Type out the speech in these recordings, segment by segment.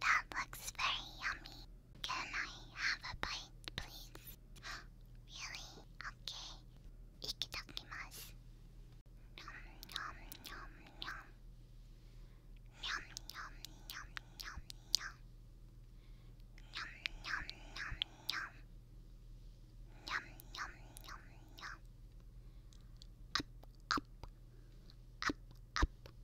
That looks very yummy. Can I have a bite, please? really? Okay. Ikitakimasu. Nom nom nom nom. Nom nom nom nom nom. Nom nom nom nom. Nom nom nom nom. Up up. Up up.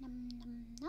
năm năm nó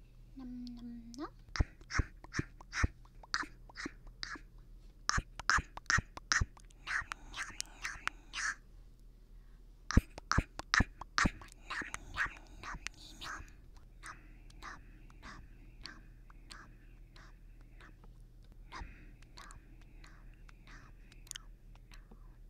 năm năm nấc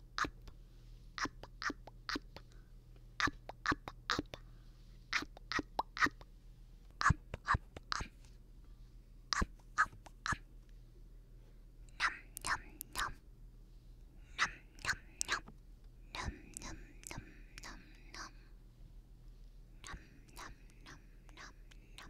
up, up, up, up, up, up, up, up, up, up, up, up, up, up, up. Num num num. Num num num. Num num num num num. Num num num num num.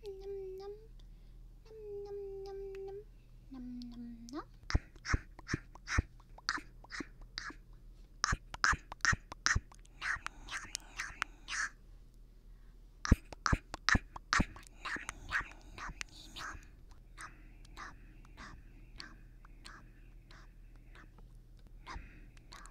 nhâm nhâm nhâm nhâm nhâm nhâm nhâm nhâm nhâm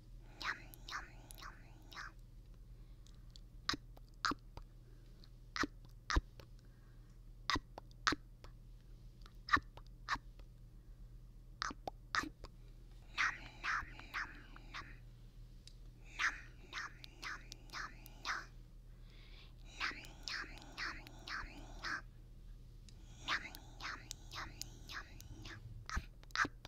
Nhum nhum nhum nhum. Up up. Up up. Up up. Up up. Up up. Nom nom nom nom. Nom nom nom nom nom. Nom nom nom nom nom. Nom nom nom nom nom. Up up.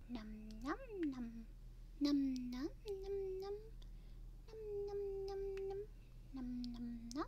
năm năm năm năm năm năm năm năm năm năm năm năm năm năm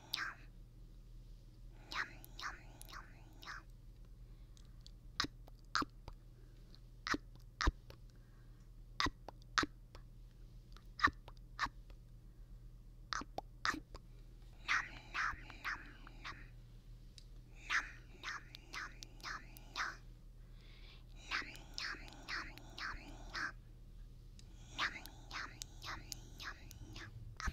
nhom nhom nhom nhom nhom up up up up up up up up up up nom nom nom nom nom nom nom nom nom nom nom nom nom nom Yum, yum, yum, yum, yum. Up,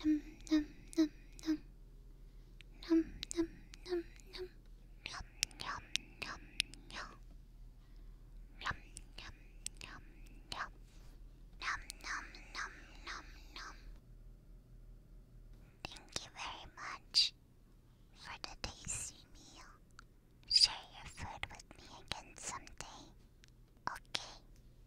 num, num, num, num, num, num, num, num, yum, yum, yum, yum, yum, yum, yum, yum, num, num, num, num, num. Thank you very much for the tasty meal. Share your food with me again someday. Okay,